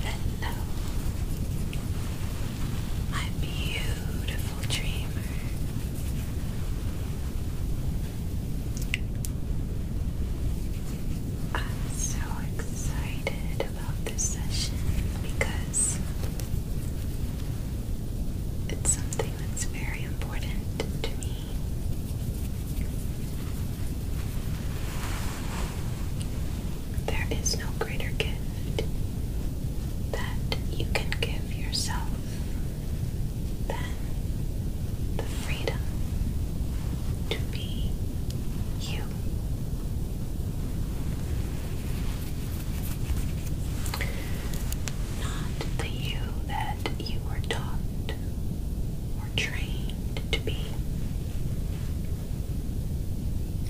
Hello, my beautiful dreamer. I'm so excited about this session because it's something Silence very important to me. There is no greater gift that you can give yourself than the freedom to be you not the you that you were taught or trained to be,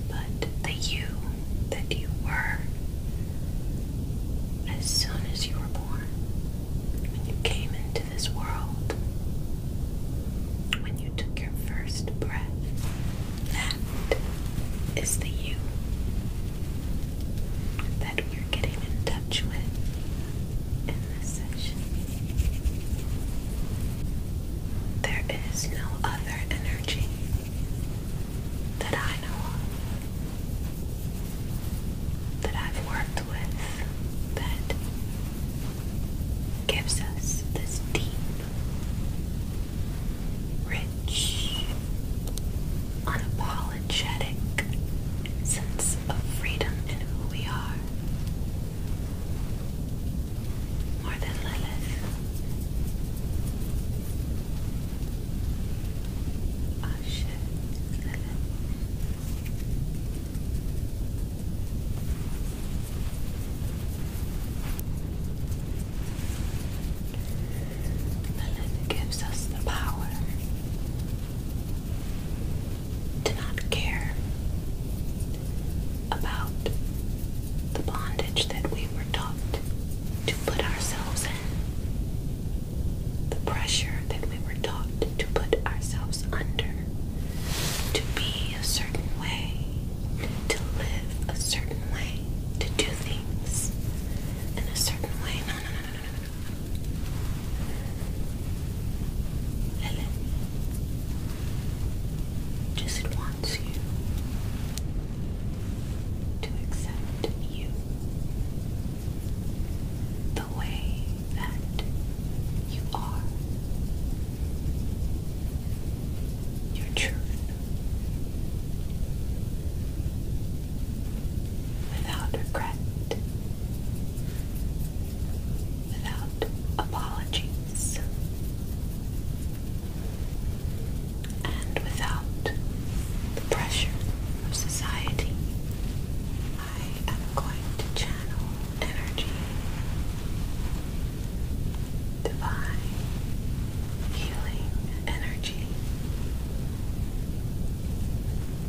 but the you that you were as soon as you were born, when you came into this world, when you took your first breath. That is the you that we're getting in touch with in this session. There is no other energy that I know of that I've worked with that gives us this deep, rich unapologetic sense of freedom in who we are. More than Lilith. Oh shit, Lilith and it gives us the power to not care about the bondage that we were taught to put ourselves in, the pressure that we were taught to put ourselves under, to be a certain way, to live a certain way, to do things in a certain way. No, no, no, Helen just wants you to accept you the way that you are. Your truth, without regret, without apologies, and without the pressure of society. I am going to channel energy, divine healing energy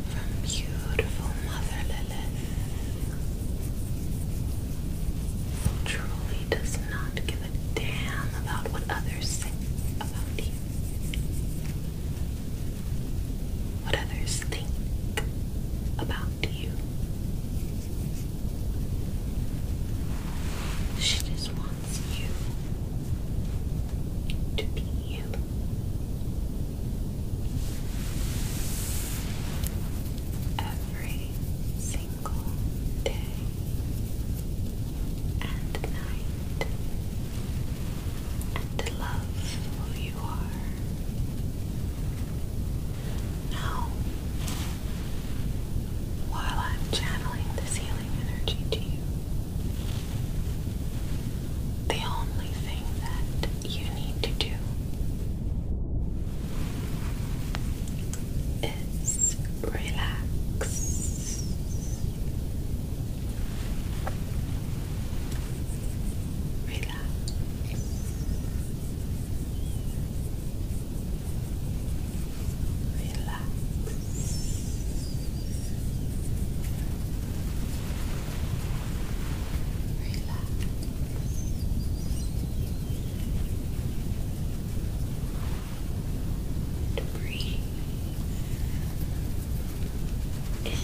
from beautiful Mother Lilith, who does not give a damn about what others say about you, what others think about you. She just wants wants you to be you. Every single day and night, and to love who you are. Now, while I'm channeling this healing energy to you, the only thing that you need to do is relax. Relax. Relax relax. Relax. To breathe in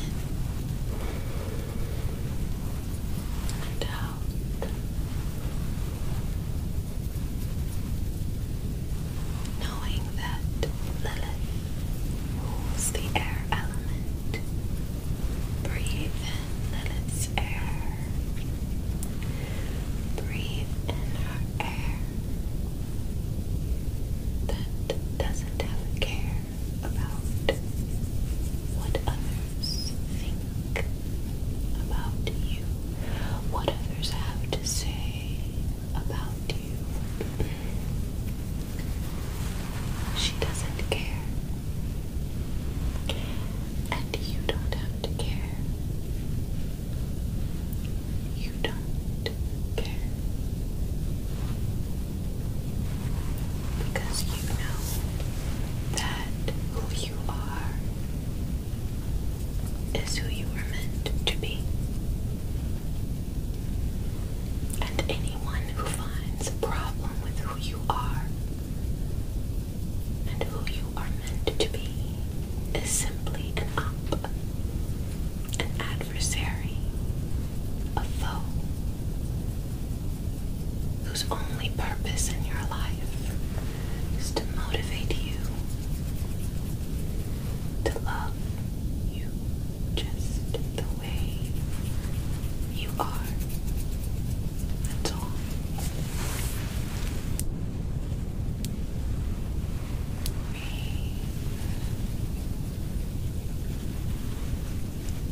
and out knowing that Lilith rules the air element. Breathe in Lilith's air. Breathe in her air that doesn't care about what others think about you, what others have to say about you. She doesn't care. And you don't have to care. You don't care. Because you know that who you are is who you were meant to be. And anyone who finds a problem with who you are and who you are meant to be is simply an op, an adversary, a foe whose only purpose in your life is to motivate you to love you just the way you are.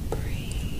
Breathe. Breathe.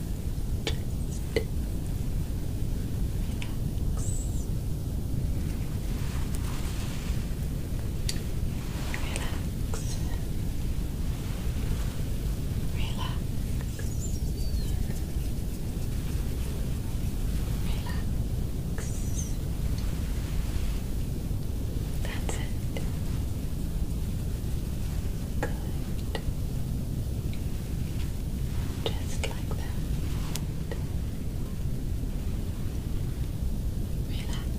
relax. Relax. Relax. That's it. Good. Just like that. Relax.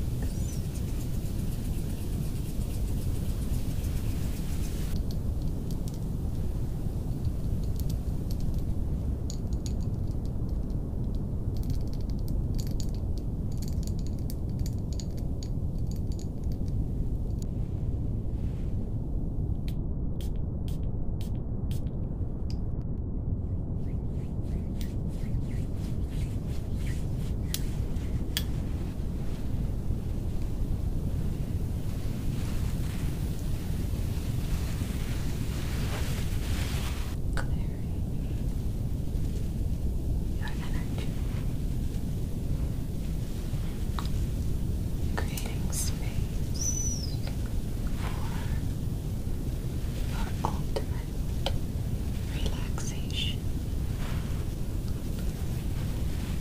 Clearing your energy creating space for our ultimate relaxation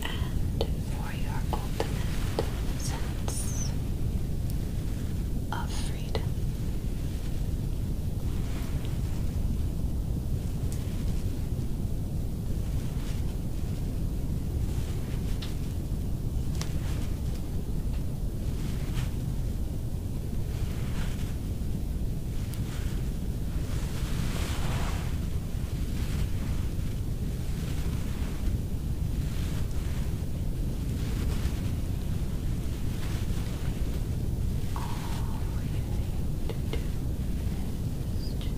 and for your ultimate sense of freedom. All you need to do is just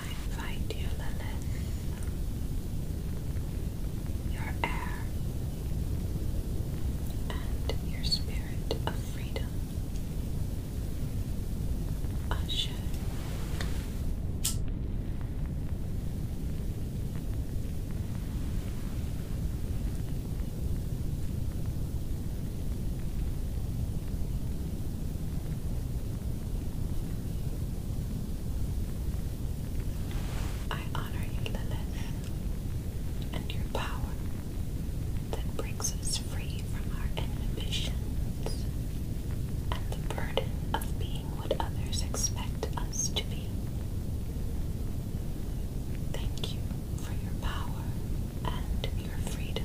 I invite you, Lilith, your heir, and your spirit of freedom. Usher. I honor you, Lilith, and your power that breaks us free from our inhibitions and the burden of being what others expect us to be. Thank you for your power and your freedom.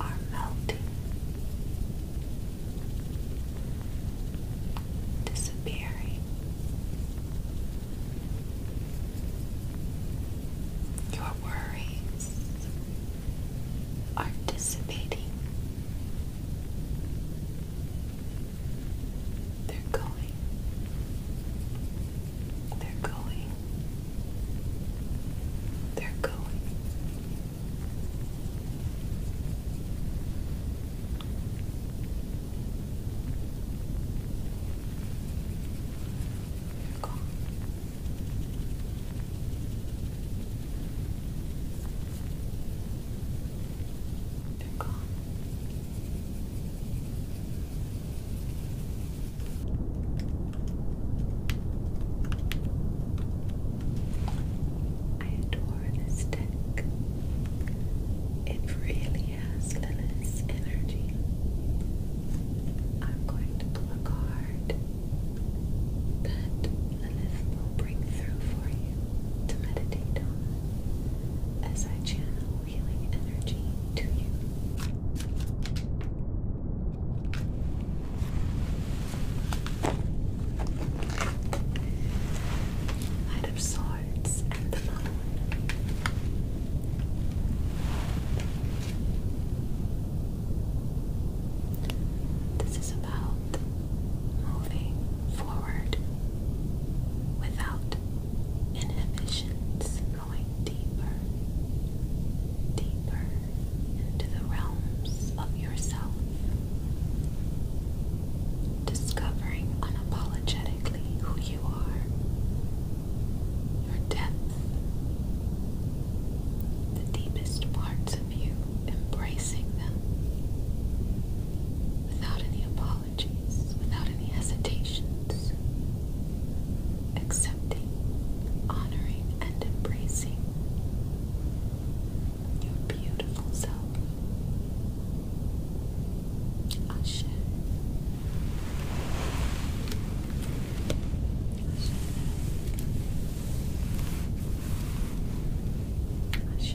are melting, disappearing. Your worries are dissipating. They're going. They're going. They're going. They're gone. They're gone. They're gone. I adore this deck. It really has Lilith's energy. I'm going to pull a card Lilith will bring through for you to meditate on as I channel healing energy to you. Knight of Swords and the Moon. This is about moving forward without inhibitions going deeper, deeper into the realms of yourself, discovering unapologetically who you are, your depth, the deepest parts of you, embracing them without any apologies, without any hesitation accepting, honoring, and embracing your beautiful self. Ashe. Ashe. Ashe.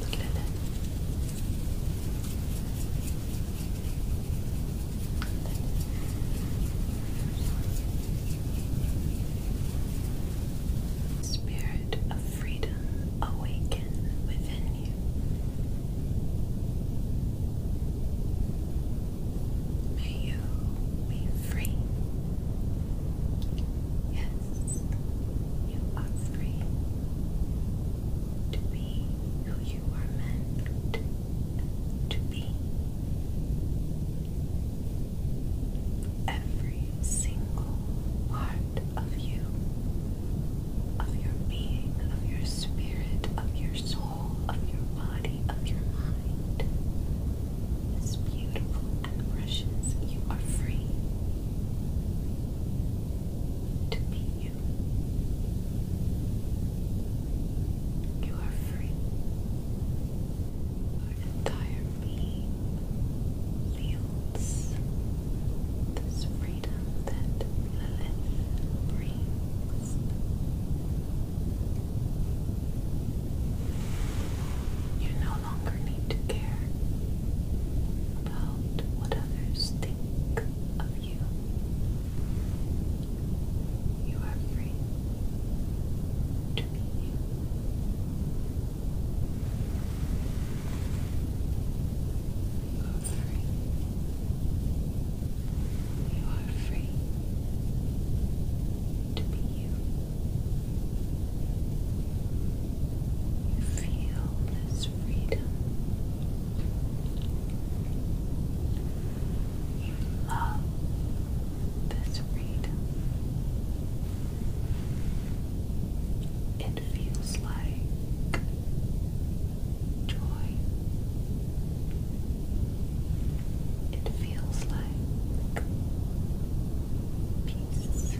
Look Spirit of freedom awaken within you. May you be free Yes, you are free to be who you are meant to be. Every single part of you, of your being, of your spirit, of your soul, of your body, of your mind is beautiful and you are free to be you. You are free. Your entire being feels this freedom that Lilith brings. You're longer need to care about what others think of you. You are free to be you. You are free. You are free to be you. You feel this freedom. You love this freedom. It feels like joy. It feels like pea feels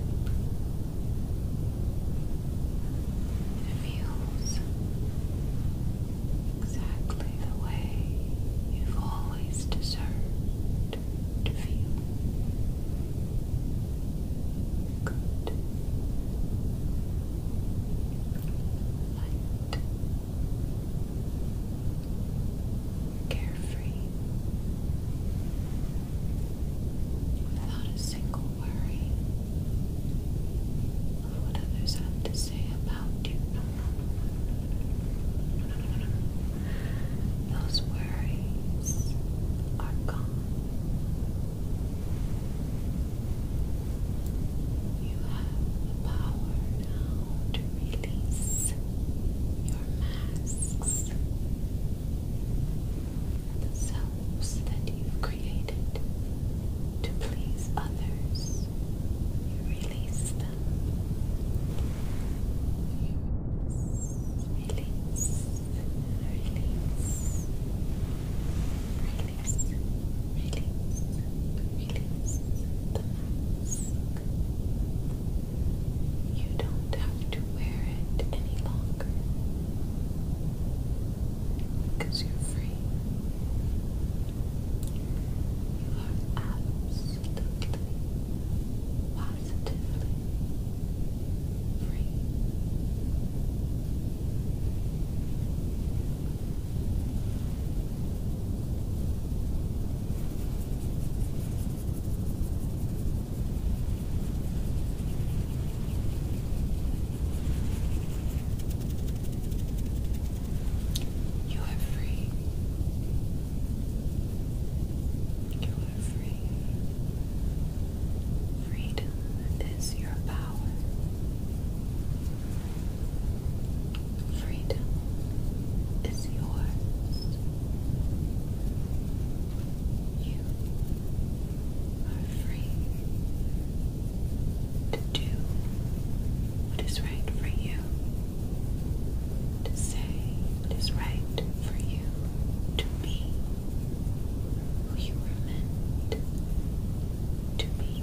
exactly the way you've always deserved to feel. Good. Light. Carefree without a single worry of what others have to say about you. Those worries are gone. You have the power now to release your masks and the selves that you created to please others. You release them. You release, release, release, release, release the mask. You don't have to wear it any longer you're free. You are absolutely, positively free. You are free. You are free. Freedom is your power. Freedom is yours. You are free to do what is right for you, to say what is right for you, to be who you were meant to be.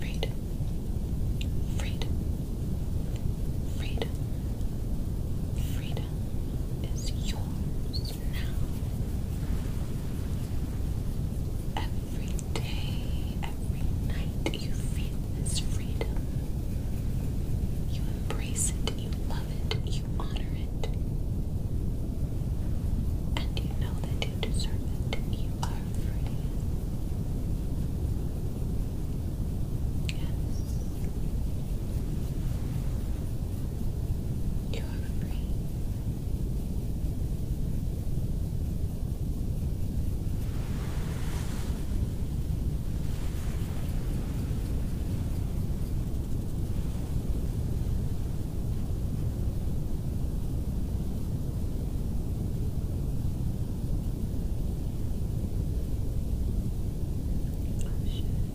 Freedom, freedom, freedom, freedom is yours now. Every day, every night, you feel this freedom. You embrace it, you love it, you honor it. And you know that you deserve it. You are free. Yes. You are free. Oh, shit.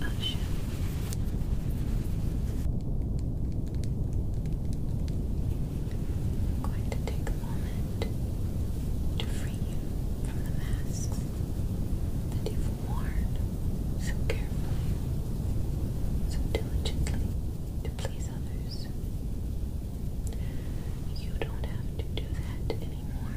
Oh shit. I'm going to take a moment to free you from the masks that you've worn so carefully, so diligently to please others. You don't have to do that anymore.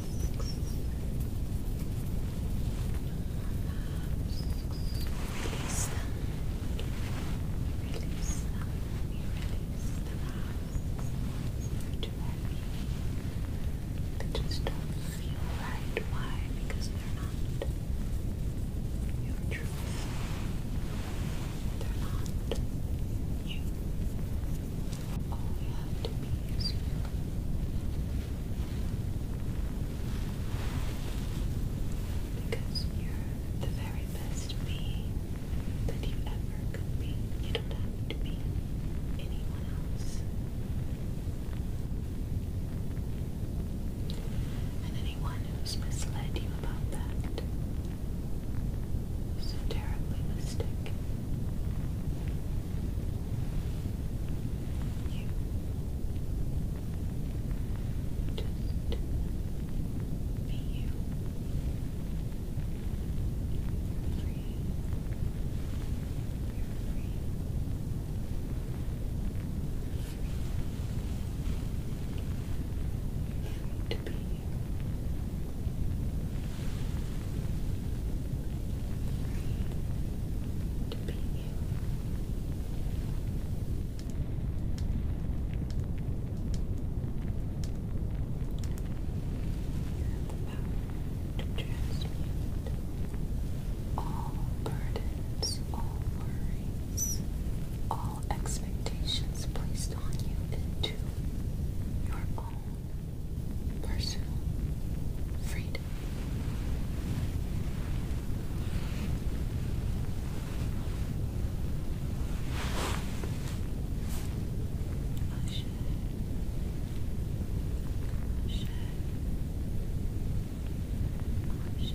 Release Release release the masks. They're too just don't feel right. Why? Because they're not your truth. They're not you. All you have to be is you. Because you're the very best being that you ever could be. You don't have to be anyone else. And anyone who's misled you about that is terribly mistaken you just be you you're free you're free you're free, you're free to be you you're free to be you to be you. You have the power to transmute all burdens, all worries, all expectations placed on you into your own personal freedom. Ashe. Ashe. Ashe. Ashe.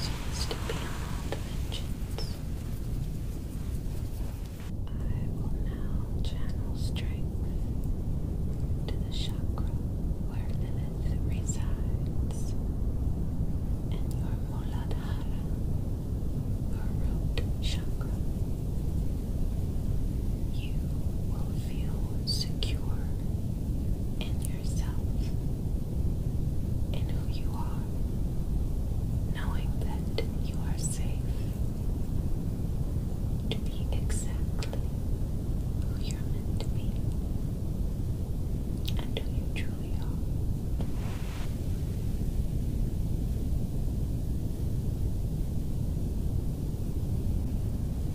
So to be on dimensions. I will now channel strength to the chakra where Lilith resides and your Muladhara, your root chakra. You will feel secure in yourself who you are, knowing that you are safe to be exactly who you're meant to be and who you truly are.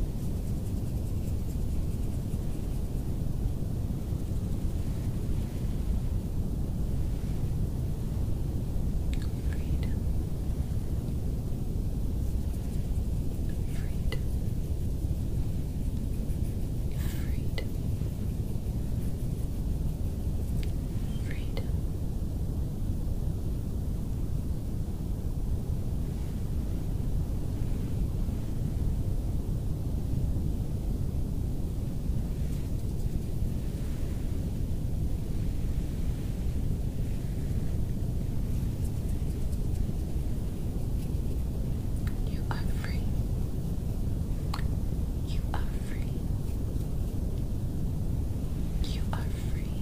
Freedom. Freedom. Freedom. Freedom. You are free. You are free. You are free.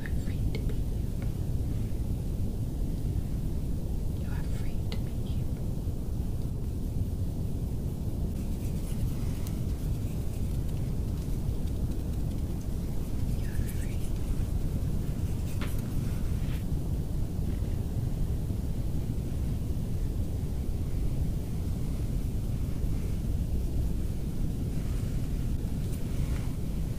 You are free to be you. You are free to be you. You are free. You are free.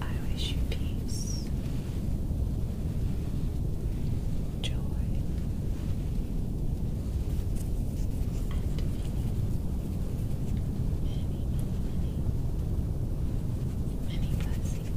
I wish you peace, joy, and many, many, many, blessings.